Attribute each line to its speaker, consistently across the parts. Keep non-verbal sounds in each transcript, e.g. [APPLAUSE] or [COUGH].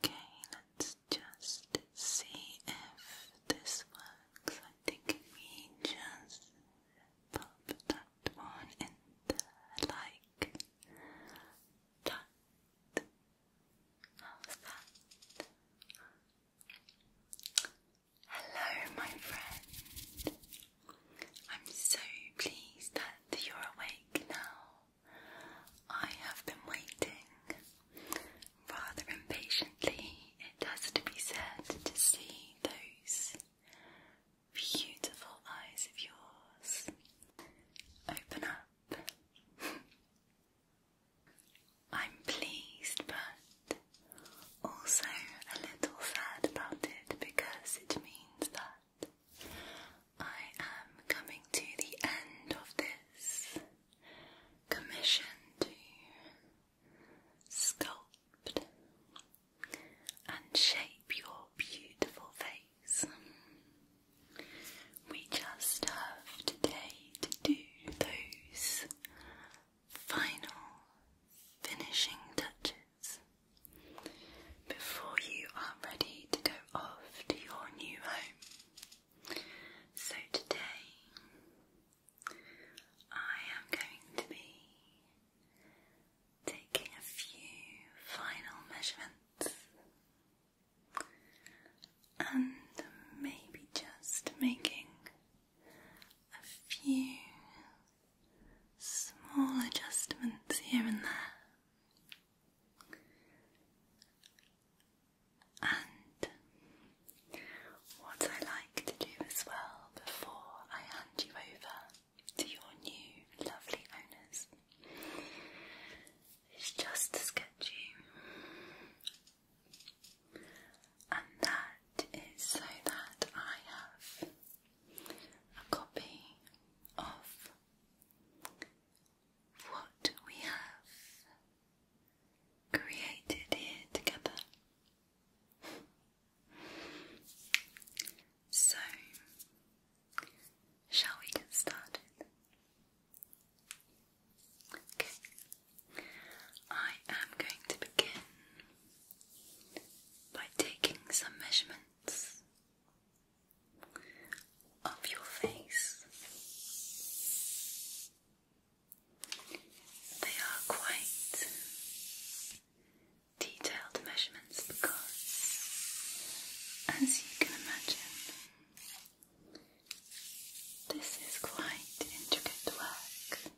Speaker 1: Okay, let's just see if this works. I think we just pop that one in there, like Hello, my friend. I'm so pleased that you're awake now. I have been waiting rather impatiently, it has to be said, to see those beautiful eyes of yours open up. [LAUGHS] I'm pleased, but also a little sad about it because it means that I am coming to the end of this commission to sculpt and shape your beautiful face. We just have today to do those final finishing touches before you are ready to go off your new home. So today I am going to be taking a few final measurements and maybe just making a few small adjustments here and there and what I like to do as well before I hand you over to your new lovely owners is just to sketch you. And that is so that I have a copy of what we have created here together. so, shall we get started? Okay. I am going to begin by taking some measurements of your face. They are quite detailed measurements because, as you can imagine, this is quite intricate work.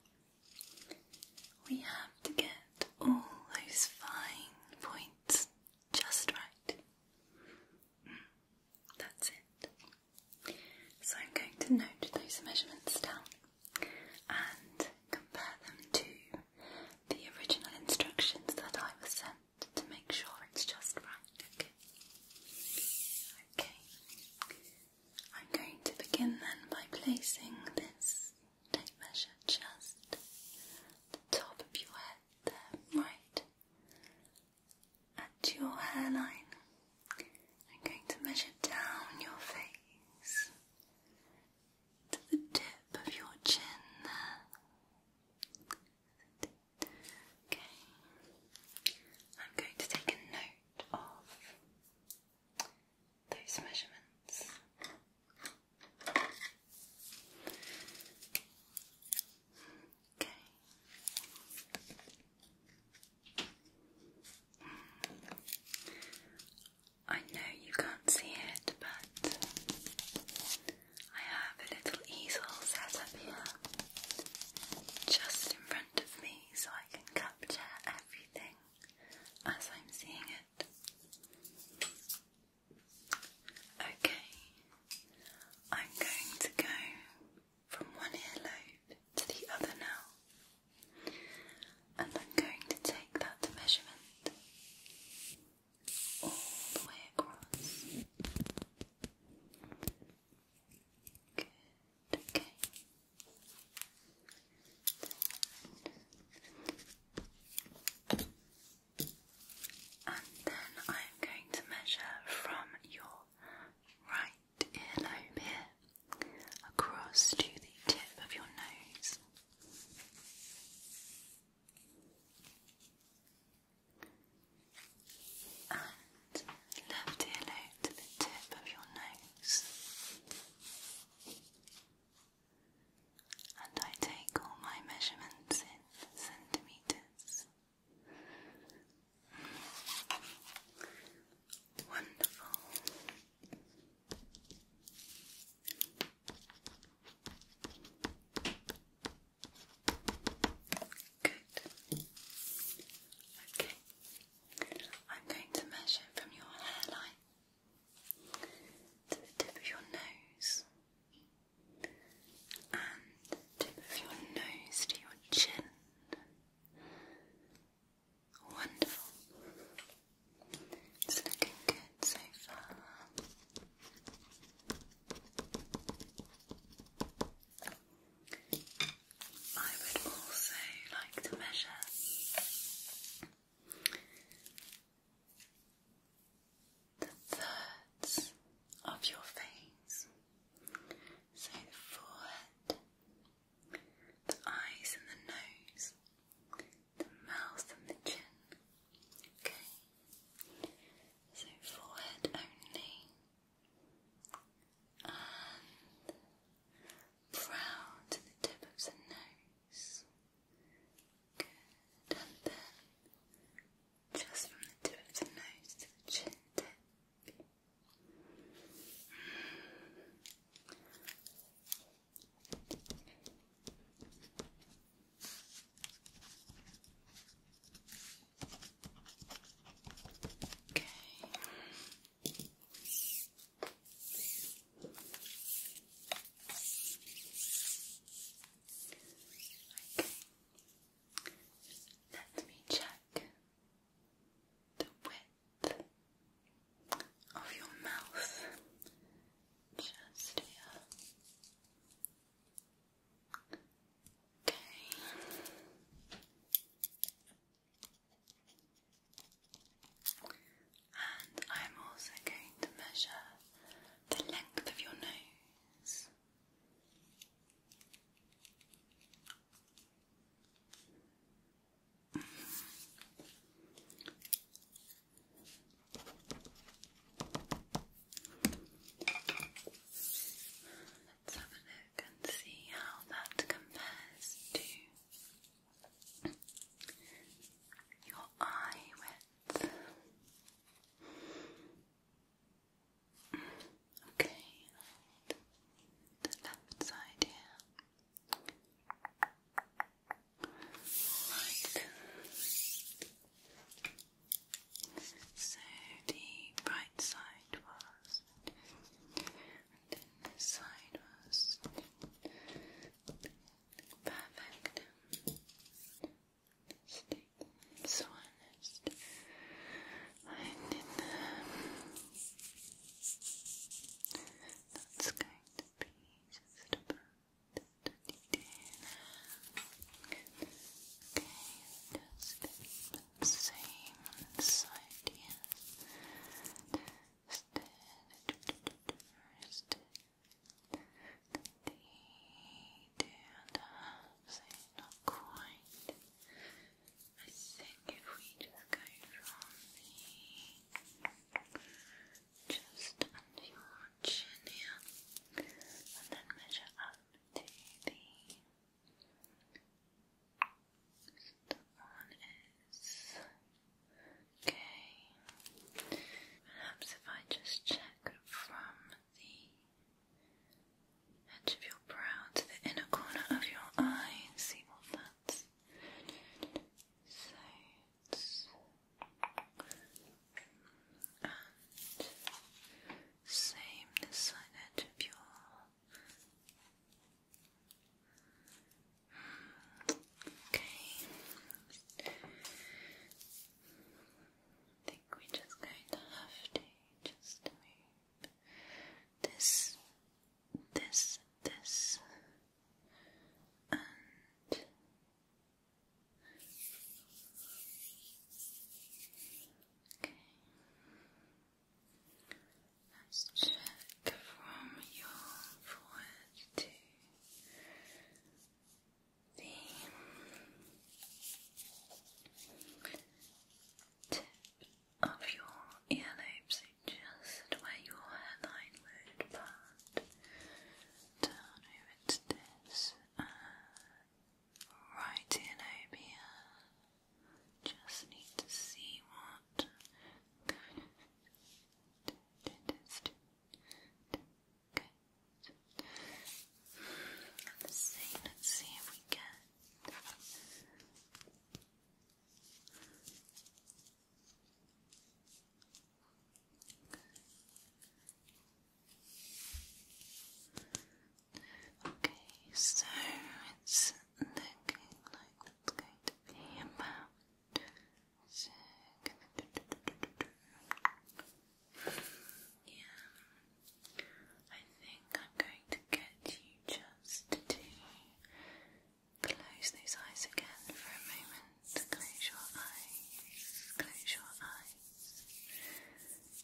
Speaker 1: We have to get all those fine points just right. That's it. So I'm going to note those measurements down and compare them to the original instructions that I was sent to make sure it's just right, okay? I'm going to begin then by placing this tape measure just the top of your head there, right at your hairline. I'm going to measure down your face to the tip of your chin Okay. I'm going to take a note of those measurements. Okay. I know you can't see it, but I have a little easel set up here just in front of me so I can capture everything as I'm seeing it. Okay, I'm going to go from one earlobe to the other now, and I'm going to take that measurement all the way across. Good, okay. And then I'm going to measure from your right earlobe here across to the tip of your nose. And left earlobe to the tip of your nose. And I take all my measurements in centimetres. Wonderful. Good. Okay. I'm going to measure from your hairline to the tip of your nose and tip of your nose to your chin. Wonderful. It's looking good so far. I would also like to measure the thirds of your face, so the forehead, the eyes and the nose, the mouth and the chin. Okay, so forehead only, and brow to the tip of the nose. Good, and then just from the tip of the nose to the chin tip. Okay. Okay. Let me check the width of your mouth just here. Okay. And I'm also going to measure the length of your nose. Let's have a look and see how that compares to your eye width. Okay, right. the left side here. Right. So the right side was, and then this side was perfect mistake. i so honest. I did them. That's going to be just Okay, just the same side here. Just first. The do and I think if we just go from the just under chin here and then measure up to the so one is okay. Perhaps if I just check from the and if you're to the inner corner of your eye, see what that's same this side edge of your hmm, okay I think we just going to have to just this, this, this, and okay. Let's check from your forehead to the tip of your earlobes, so just where your hairline would part, down over this uh, right earlobe here. Just need to see what. [LAUGHS] Let's see, let's see if we get. Okay, so it's looking like it's going to be about. Yeah. I think I'm going to get you just to close those eyes again for a moment. Close your eyes. Close your eyes.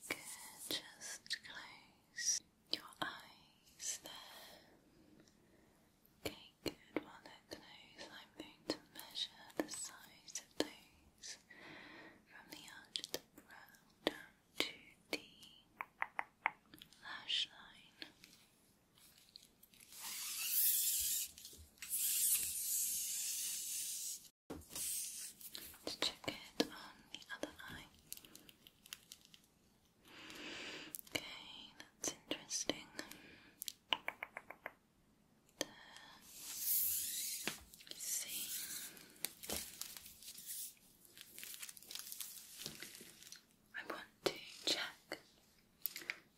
Speaker 1: Good. Just close your eyes there. Okay, good. While they're closed, I'm going to measure the size of those waves from the arch of the brow down to the lash line. To check it on the other eye. Okay, that's interesting. see. I want to check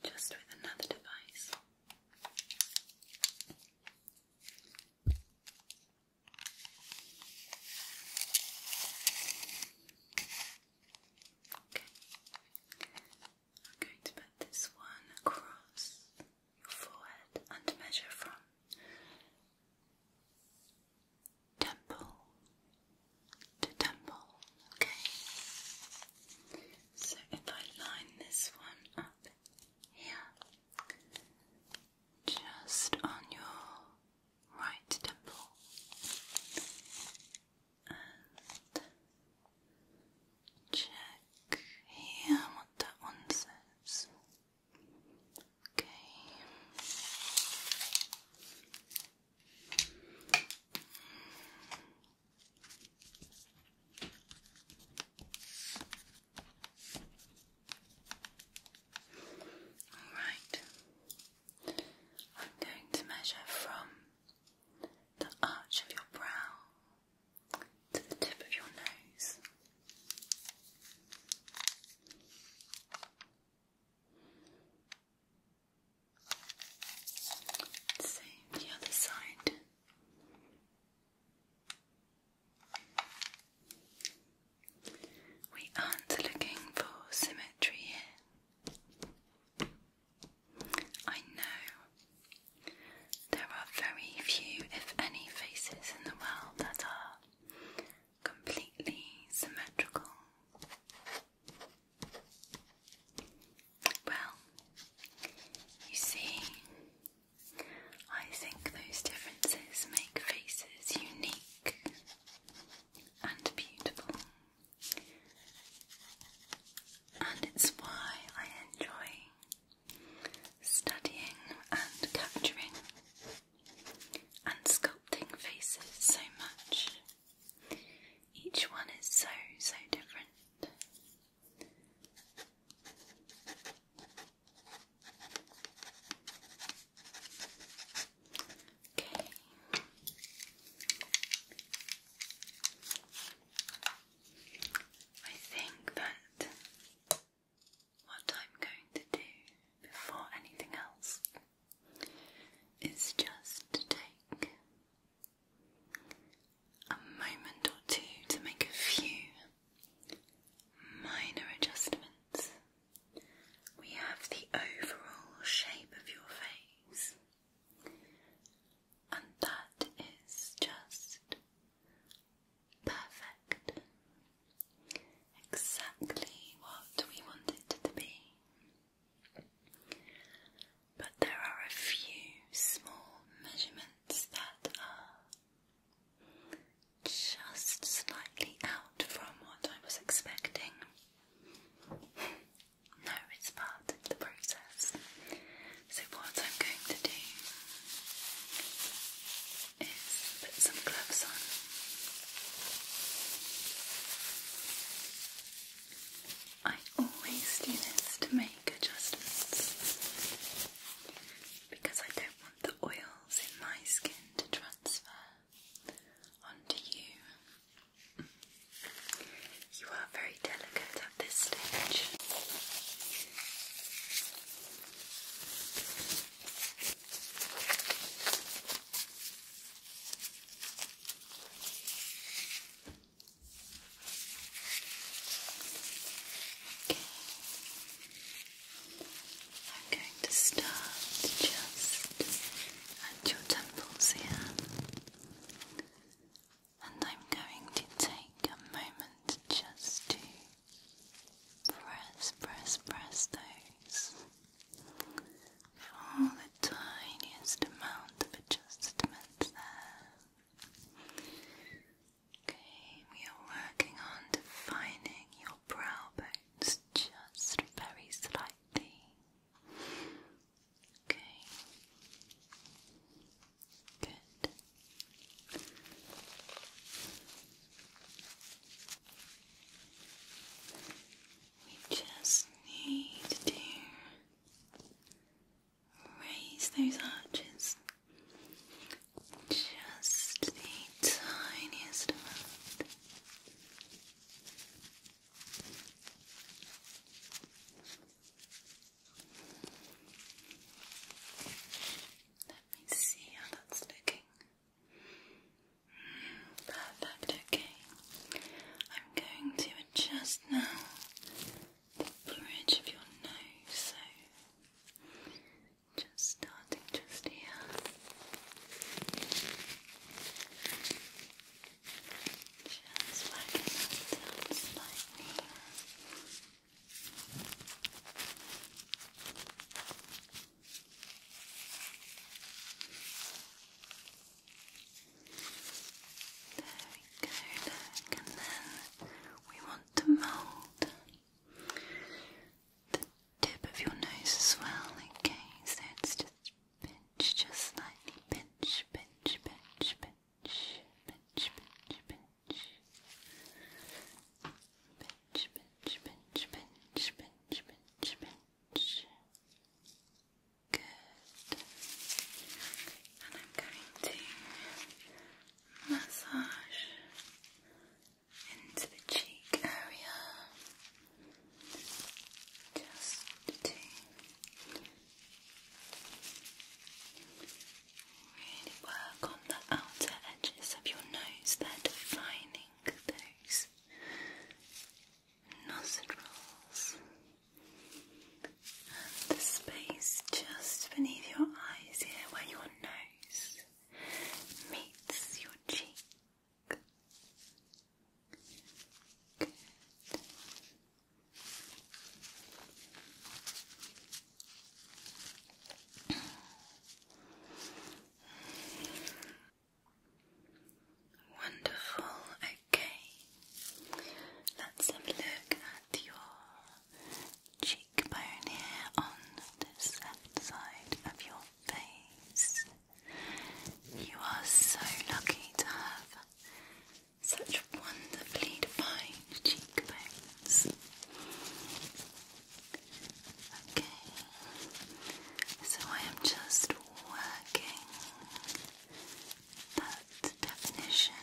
Speaker 1: just with another device. Okay, I'm going to put this one across your forehead and measure from temple to temple. Okay, so if I line this one up here, just on your right temple, and check here what that one says. Okay. All right. I'm going to measure from the arch of your brow to the tip of your nose see the other side. We aren't looking for symmetry here. I know there are very few, if any, faces in the world that are completely symmetrical. Well, you see, I think those differences make faces unique and beautiful, and it's why I enjoy studying and capturing and sculpting faces so much. Each one is so, so different. Okay. I think that what I'm going to do before anything else is just take a moment or two to make a few minor adjustments. We have the overall shape of your face, and that is just Perfect. Exactly what we wanted it to be. But there are a few small measurements that are just slightly out from what I was expecting. [LAUGHS] No, it's part of the process. So, what I'm going to do is put some gloves on. I always do this to make adjustments because I don't want the oils in my skin to transfer onto you. You are very delicate at this stage. I'm going to start just at your temples here, and I'm going to take a moment just to Press, press, press those all the tiniest amount of adjustment there. Okay, we are working on defining your brow bones just very slightly. Okay. Good. We just need to raise those arches just the tiniest amount. Let me see how that's looking. Perfect, okay. I'm going to adjust now the bridge of your nose, so just starting just here. Just working that slightly. There we go, and then we want to mould the tip of your nose as well, okay? So it's just pinch, just slightly pinch, pinch, pinch, pinch, pinch, pinch, pinch, pinch, pinch, pinch, pinch, pinch, pinch. Good. And I'm going to massage into the cheek area just to really work on the outer edges of your nose, they're defining those nostrils and the space just beneath your eyes here where your nose meets your cheek. Wonderful. Okay, let's look at your cheekbone here on this left side of your face. You are so lucky to have such wonderfully defined cheekbones. Okay, so I am just working that definition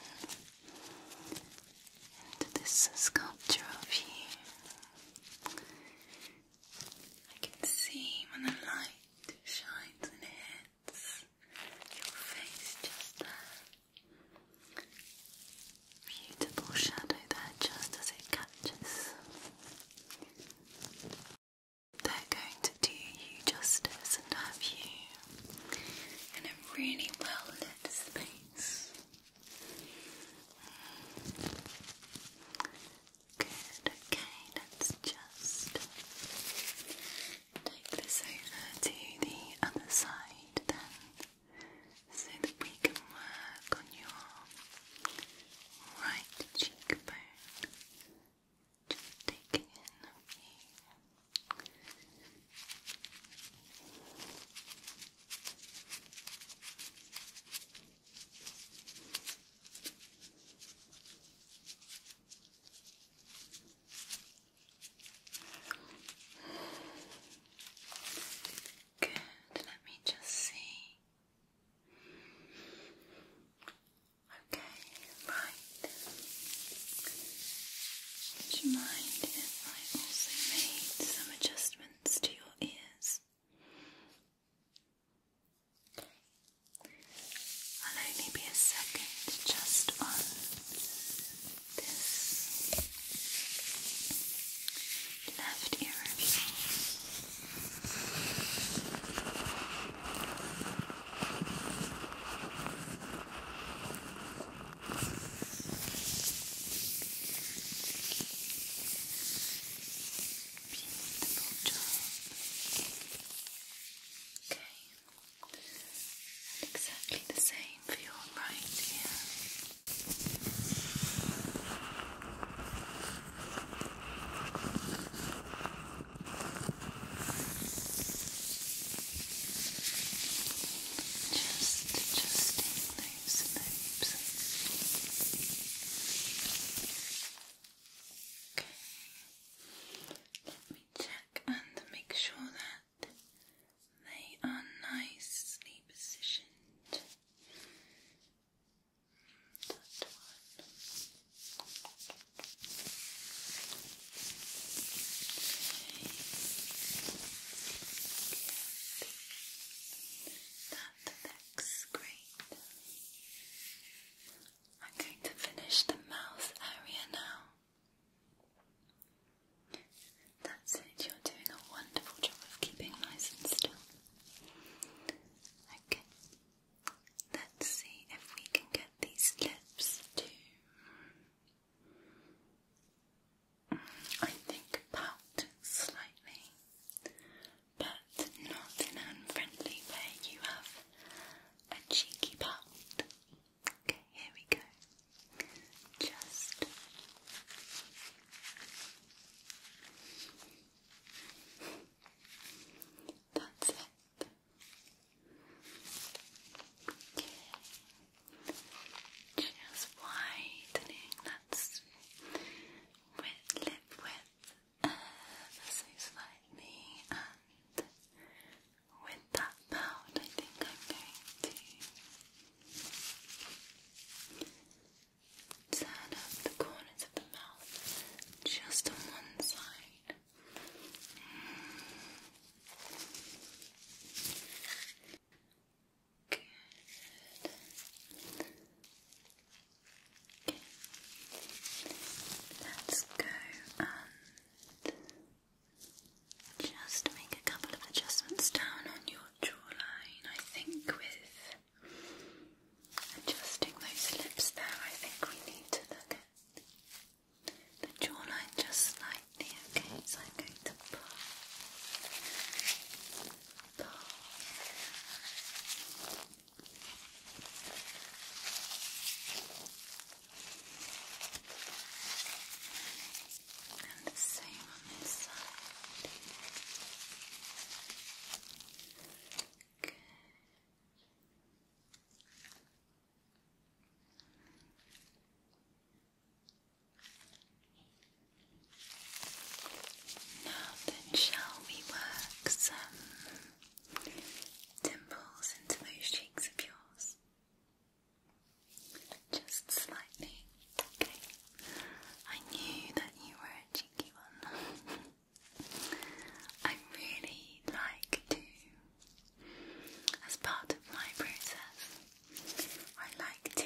Speaker 1: into this sculpture of you. I can see when the light shines and hits your face just there beautiful shadow there just as it catches. They're going to do you justice and have you in a really well lit space. Good, okay, let's just take this over to the other side then so that we can work on your right cheekbone. Just taking in a Good, let me just see Okay, right. Would you mind I also made some adjustments to your ears? I'll only be a second just on this left ear Okay. exactly the same for your right ear. Just adjusting those loops. Okay. Let me check and make sure that they are nicely positioned. That looks great. I'm going to finish the mouth area now. That's it, you're doing a wonderful job of keeping nice and still. Okay, let's see if we can get these lips to. I think pout slightly, but not in an unfriendly way. You have a cheeky pout. Okay, here we go. Just. That's it. Okay. Just widening. let with lip width uh, so slightly and with that pout I think I'm going to turn up the corners of the mouth just on one side. Good. Okay. Let's go and just make a couple of adjustments down on your jawline. I think with Adjusting those lips there, I think we need to look at the jawline just slightly, okay? So I'm going to pull, pull. And the same on this side. Good. Now then, shall we work some dimples into those cheeks of yours? Just slightly. Okay. I knew that you were a cheeky one. [LAUGHS] I really like to, as part of my process, I like to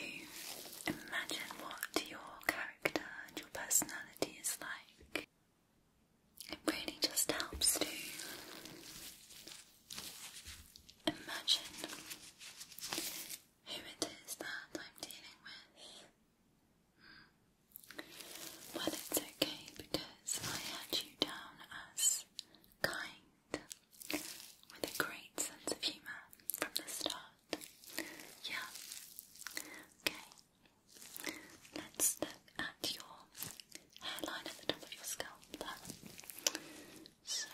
Speaker 1: imagine what your character and your personality is like. It really just helps to imagine who it is that I'm dealing with well, it's okay because I had you down as kind, with a great sense of humour from the start. Yeah. Okay. Let's look at your hairline at the top of your scalp there. So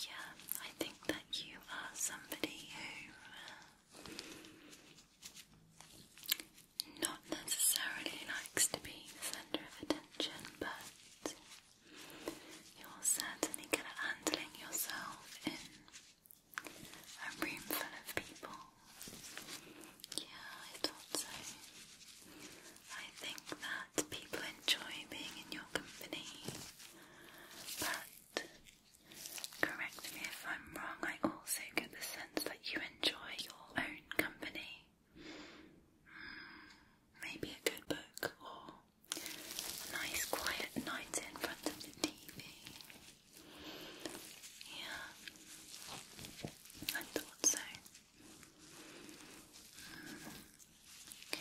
Speaker 1: yeah, I think that you are somebody who uh, not necessarily likes to be the centre of attention, but you're certainly good at handling yourself in a room full of people. Yeah, I thought so. I think that people enjoy being in your company, but Correct me if I'm wrong, I also get the sense that you enjoy your own company. Hmm, maybe a good book or nice quiet night in front of the TV. Yeah, I thought so. Hmm, okay.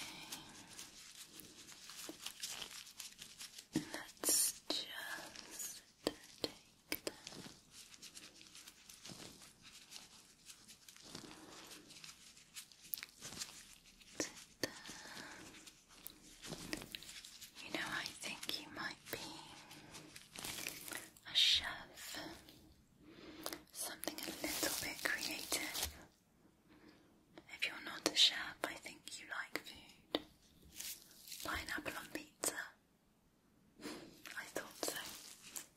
Speaker 1: Let's just take You know, I think you might be a chef. Something a little bit creative. If you're not a chef, I think you like food. Pineapple on pizza. I thought so.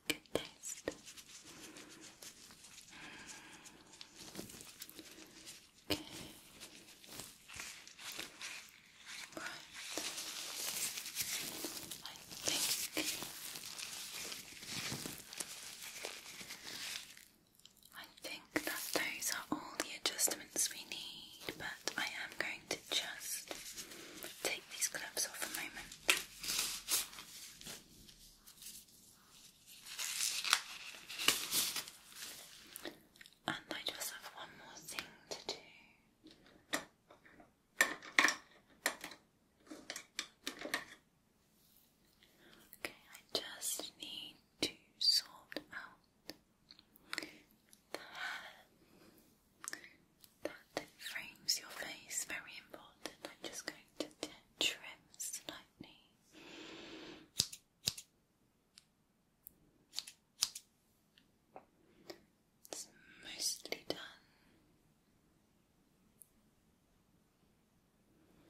Speaker 1: Good taste. Okay. Right. I think I think that those are all the adjustments we need, but I am going to just take these gloves off for a moment. And I just have one more thing to do. Okay, I just need to sort out the that frames your face. Very important. I'm just going to trim slightly. It's mostly done.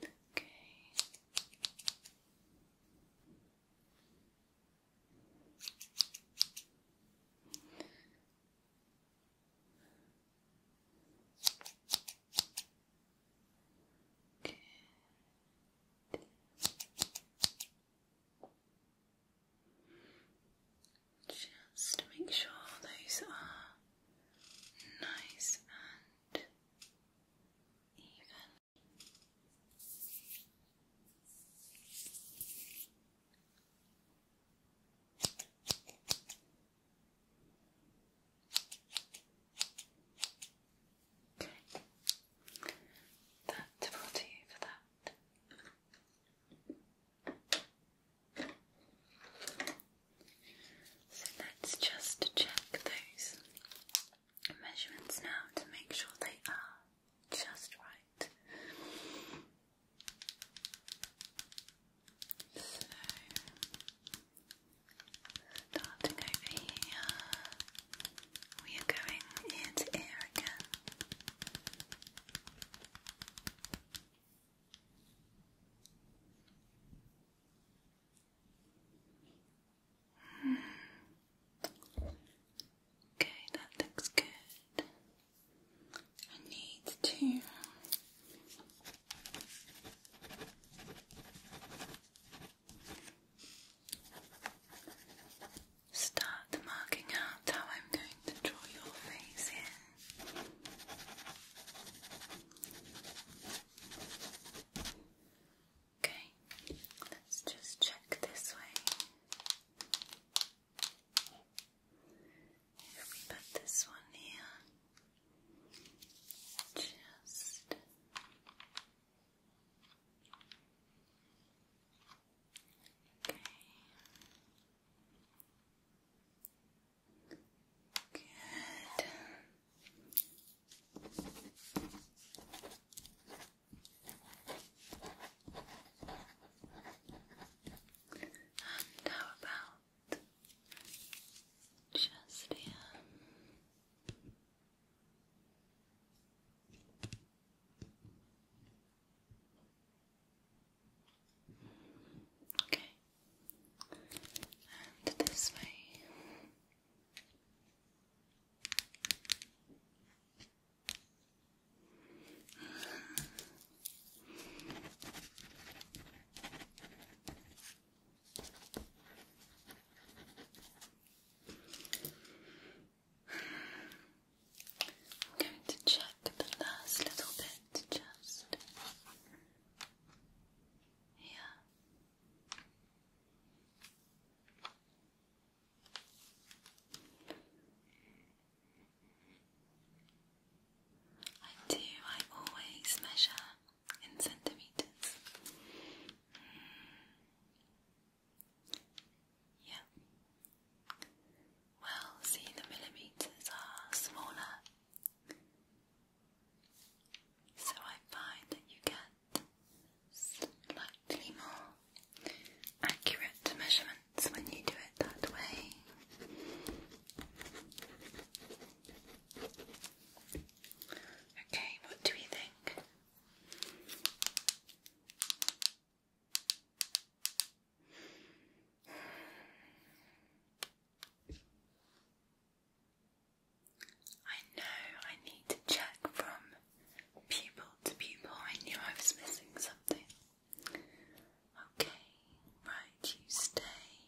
Speaker 1: Okay. Good. Just to make sure those are nice and even. That will do for that. So let's just check those measurements now to make sure they are just right. So, starting over here, we are going ear to again. Okay, that looks good. I need to start marking out how I'm going to draw your face in. Okay, let's just check this way. If we put this one here, just okay. Good. And how about just here? Okay, and this way. I'm going to check the last little bit just here. I do, I always measure in centimetres. Hmm. Yeah. Well, see, the millimetres are smaller. So I find that you get slightly more accurate measurements when you do it that way. Okay, what do you think? I know I need to check from pupil to pupil. I knew I was missing something. Okay, right, you stay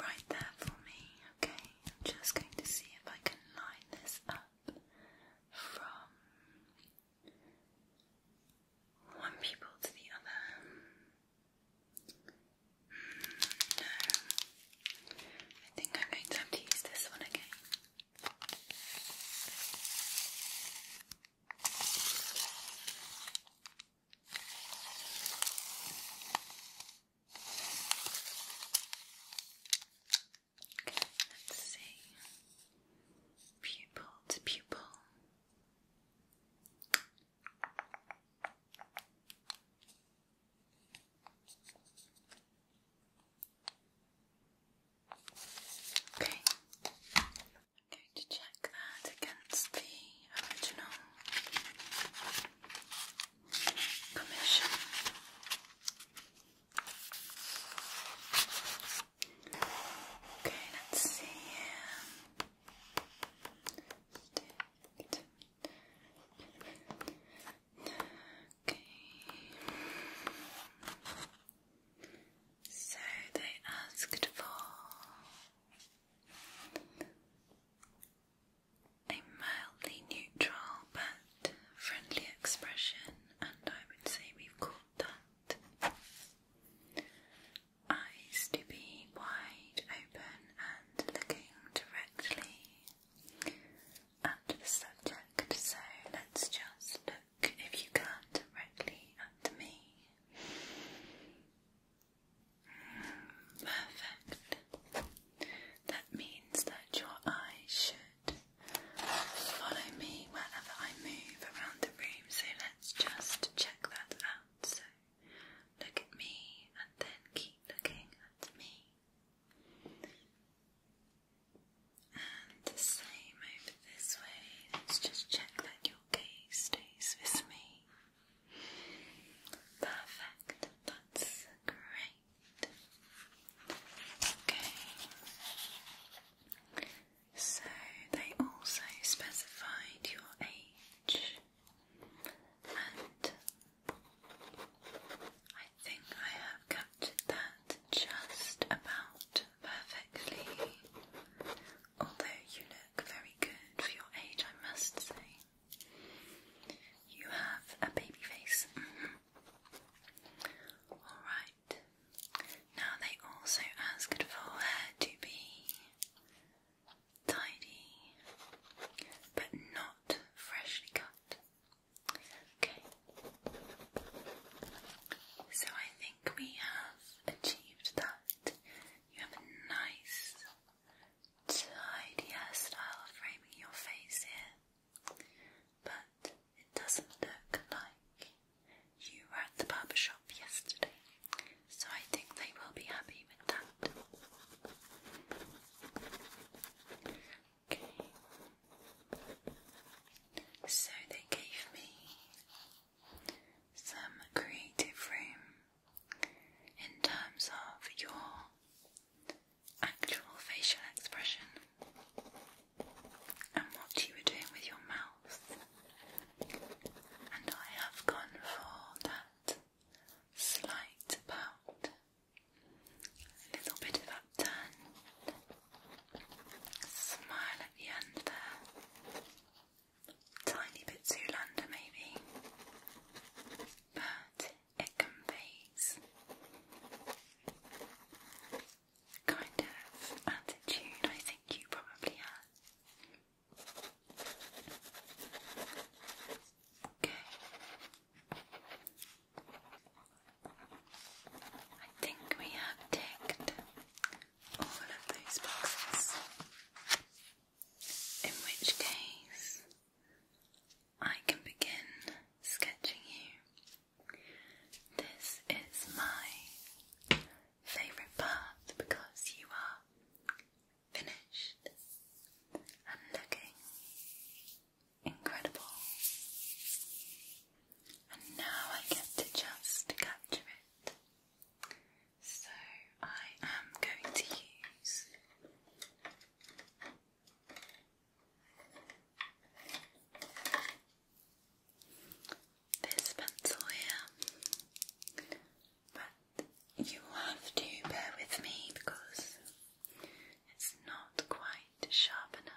Speaker 1: right there for me. Okay, I'm just going to see if I can line this up from one pupil to the other. No. I think I'm going to have to use this one again. Okay, let's see. Pupil to pupil. Okay, I'm going to check that against the original commission. Okay, let's see Okay. So they asked for a mildly neutral but friendly expression, and I would say we've got that eyes to be wide open and looking directly at the subject, so let's just look if you can directly at me. Perfect. That means that your eyes should follow me wherever I move around the room, so let's just check that out. So look at me and then keep looking at me. And the same over this way. Let's just check that your gaze stays with me. Perfect. That's great. Okay. So they also specified your age and I think I have captured that just about perfectly. Although you look very good for your age, I must say. You have a baby face. Mm-hmm. Alright. Now they also asked for hair to be tidy, but not freshly cut. Okay. So I think we have achieved that. You have a nice, tidy hairstyle framing your face here, but it doesn't look like you were at the barber shop yesterday. So I think they will be happy with that. So they gave me some creative room in terms of your actual facial expression and what you were doing with your mouth. And I have gone for that slight pout a little bit of upturn, smile at the end there. Tiny bit Zoolander maybe, but it conveys kind of attitude I think you probably have. Okay, I think we have ticked all of those boxes, in which case I can begin sketching you. This is my favourite part because you are finished and looking incredible. And now I get to just capture it. So I am going to use this pencil here, but you have to bear with me because it's not quite white sharpener.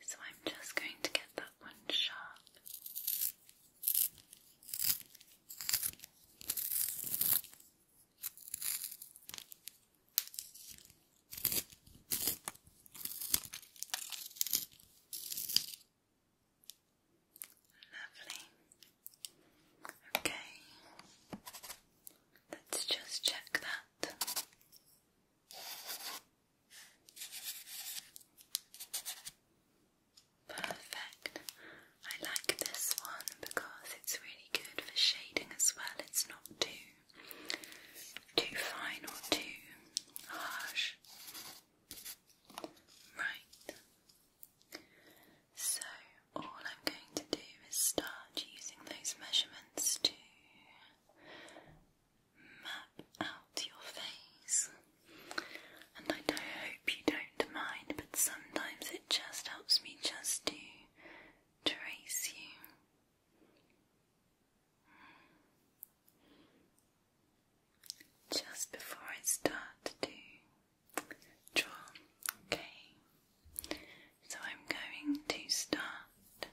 Speaker 1: So I'm just going to get that one sharp. Lovely. Okay. Let's just check that. Perfect. I like this one because it's really good for shading as well. It's not too too fine or too harsh. Right. So all I'm going to do is start using those measurements to map out your face. And I hope you don't mind, but sometimes it just helps me just to trace you. Just before I start to draw, okay. So I'm going to start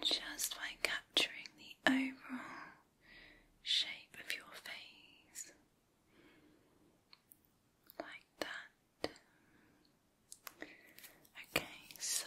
Speaker 1: just by capturing the overall shape of your face. Like that. Okay, so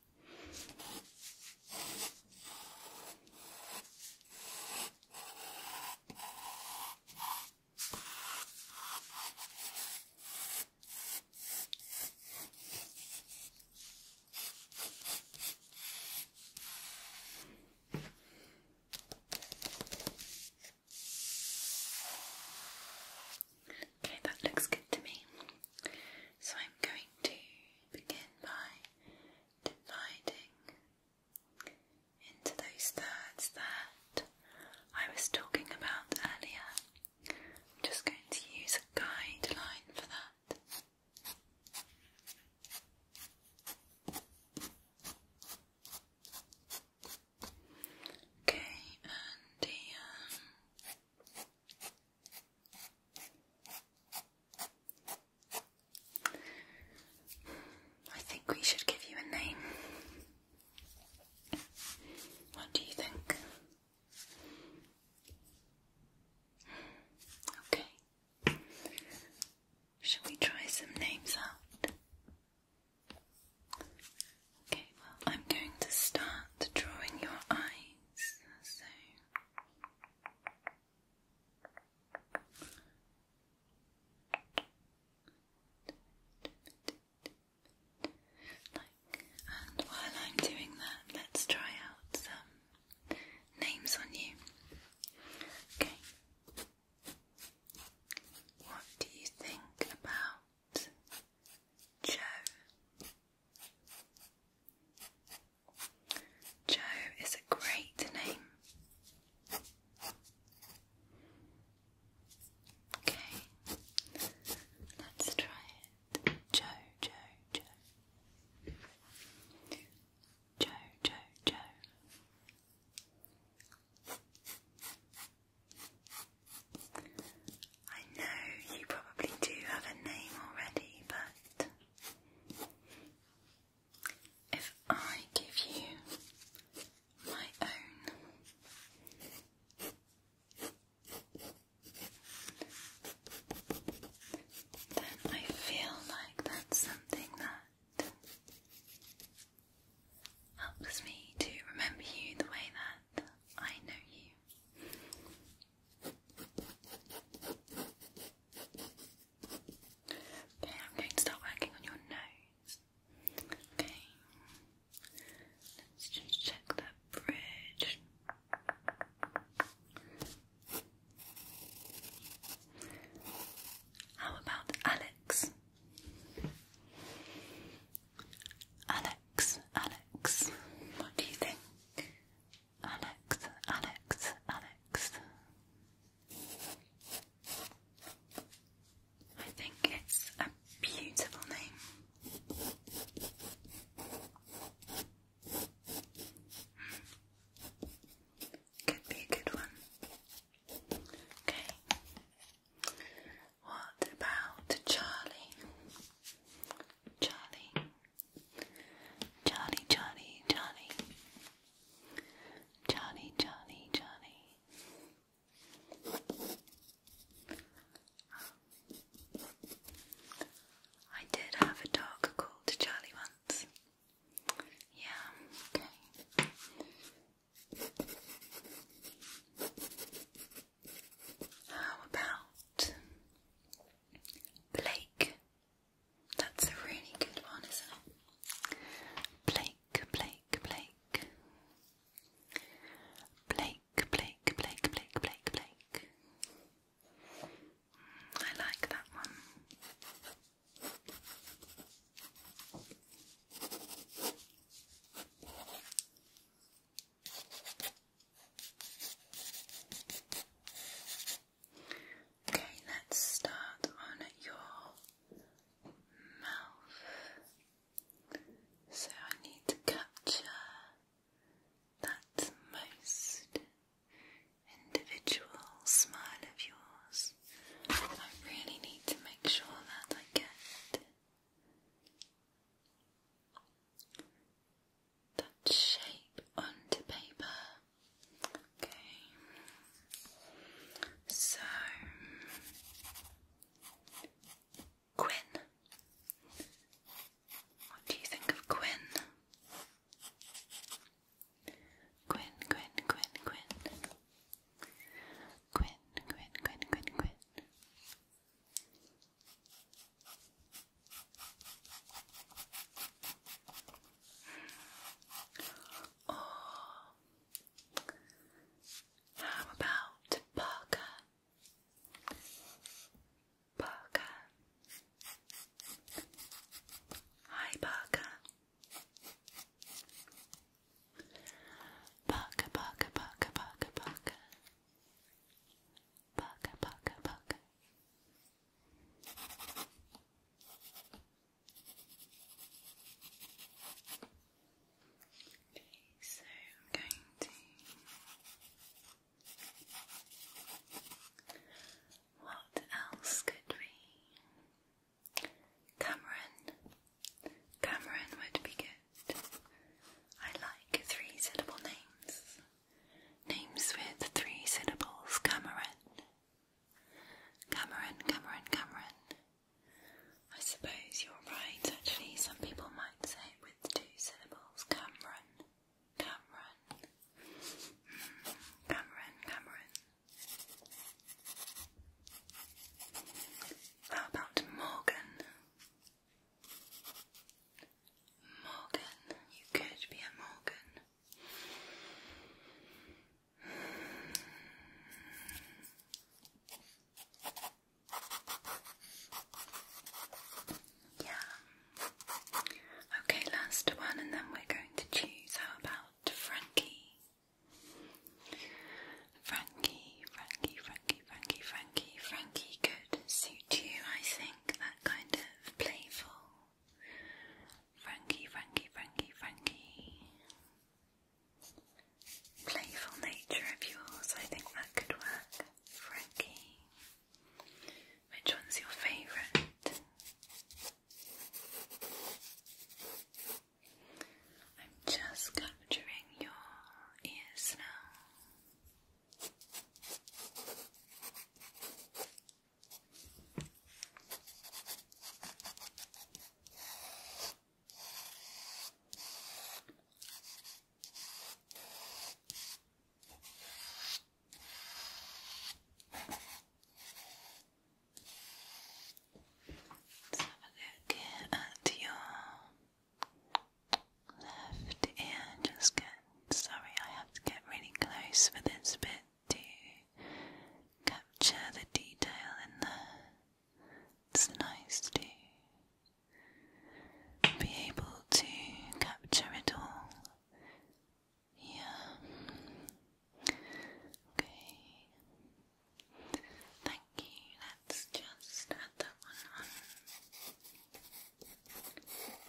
Speaker 1: Okay, that looks good to me. So I'm going to begin by dividing into those thirds that I was talking about earlier. I'm just going to use a guideline for that. Okay, and the um, I think we should give you a name. What do you think? Okay. Shall we try some names out? Okay, well, I'm going to start drawing your eyes. So while I'm doing that, let's try out some names on you. Okay. What do you think about Joe? Joe is a great name. Okay, let's try it. Joe, Joe, Joe. Joe, Joe, Joe. I know you probably do have a name already, but if I give you my own. Then I feel like that's something that helps me to remember you the way that I know you. Okay, I'm going to start working on your nose. Okay, let's just check that bridge. How about Alex? Alex, Alex, what do you think? Alex, Alex, Alex. I think it's a beautiful name. Could be a good one. Okay. What about Charlie? Charlie, Johnny, Johnny, Johnny. Johnny, Johnny, Johnny. I did have a dog called Charlie once. Yeah, okay. How about Blake? That's a really good one, isn't it? Blake, Blake, Blake. Blake, Blake, Blake, Blake, Blake, mm, I like that one. Okay, let's start on your mouth. So I need to capture that most individual smile of yours. I really need to make sure that I get that shape onto paper. Okay. So Quinn. What do you think of Quinn? Quinn, Quinn, Quinn, Quinn. Quinn, Quinn, Quinn, Quinn, Quinn. Or oh. how about Parker? Parker. Hi, Parker, Parker, Parker, Parker, Parker. Parker, Parker, Parker so I'm going to what else could we? Cameron. Cameron would be good. I like three syllable names. Names with three syllables. Cameron. Cameron, Cameron, Cameron. I suppose you're right, actually. Some people might say it with two syllables. Cameron, Cameron. Hmm, Cameron, Cameron. How about Morgan? Morgan. You could be a Morgan. Yeah. Okay, last one, and then we're going to choose. How about Frankie? Frankie, Frankie, Frankie, Frankie, Frankie, Frankie could suit you, I think, that kind of playful Frankie, Frankie, Frankie, Frankie. Playful nature of yours, I think that could work. Frankie. Which one's your favourite? I'm just capturing your ears now. Let's have a look at uh, your left ear. Just get sorry, I have to get really close for this bit to capture the detail in the It's to be able to capture it all. Yeah. Okay. Thank you. Let's just add that one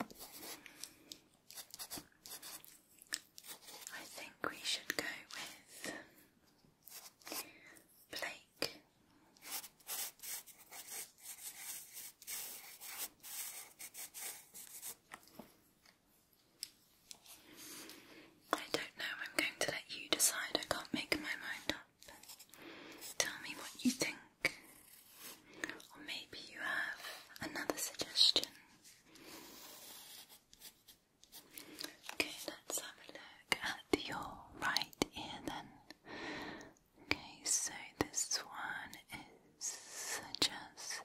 Speaker 1: on. I think we should go with Blake. I don't know, I'm going to let you decide. I can't make my mind up. Tell me what you think. Or maybe you have another suggestion. Okay, let's have a look at your right ear then. Okay, so this one is just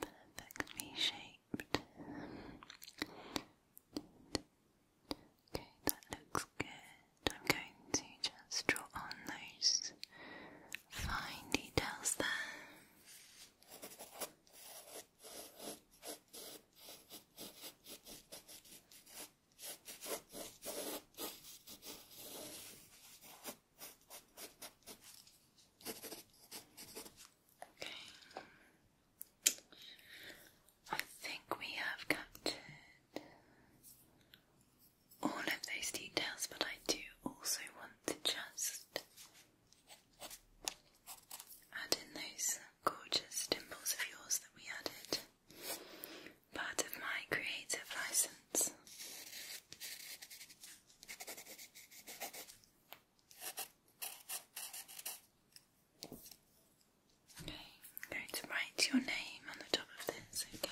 Speaker 1: perfectly shaped. Okay, that looks good. I'm going to just draw on those fine details there. Okay. I think we have got captured all of those details, but I do also want to just add in those gorgeous dimples of yours that we added. Part of my creative license. Okay, going to write your name on the top of this, okay?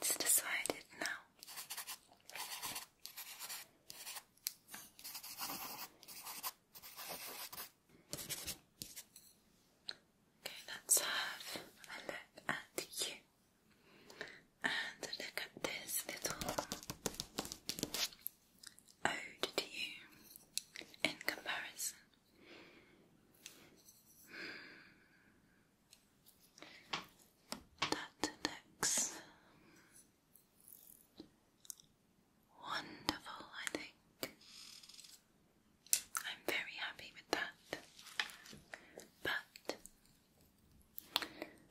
Speaker 1: It's decided now. Okay, let's have a look at you. And look at this little ode to you in comparison. That looks wonderful, I think. I'm very happy with that. But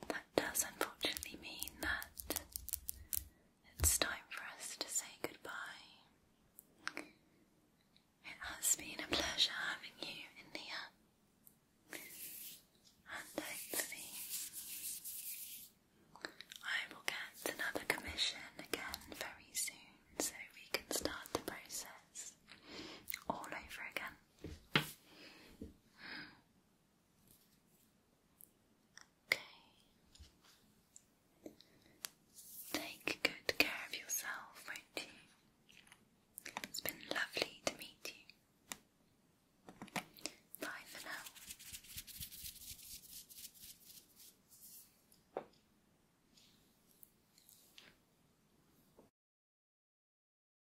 Speaker 1: that does unfortunately mean that it's time for us to say goodbye. It has been a pleasure having you in here, and hopefully, I will get another commission again very soon so we can start the process all over again. Okay. Take good care of yourself, will It's been lovely to meet you. Bye for now.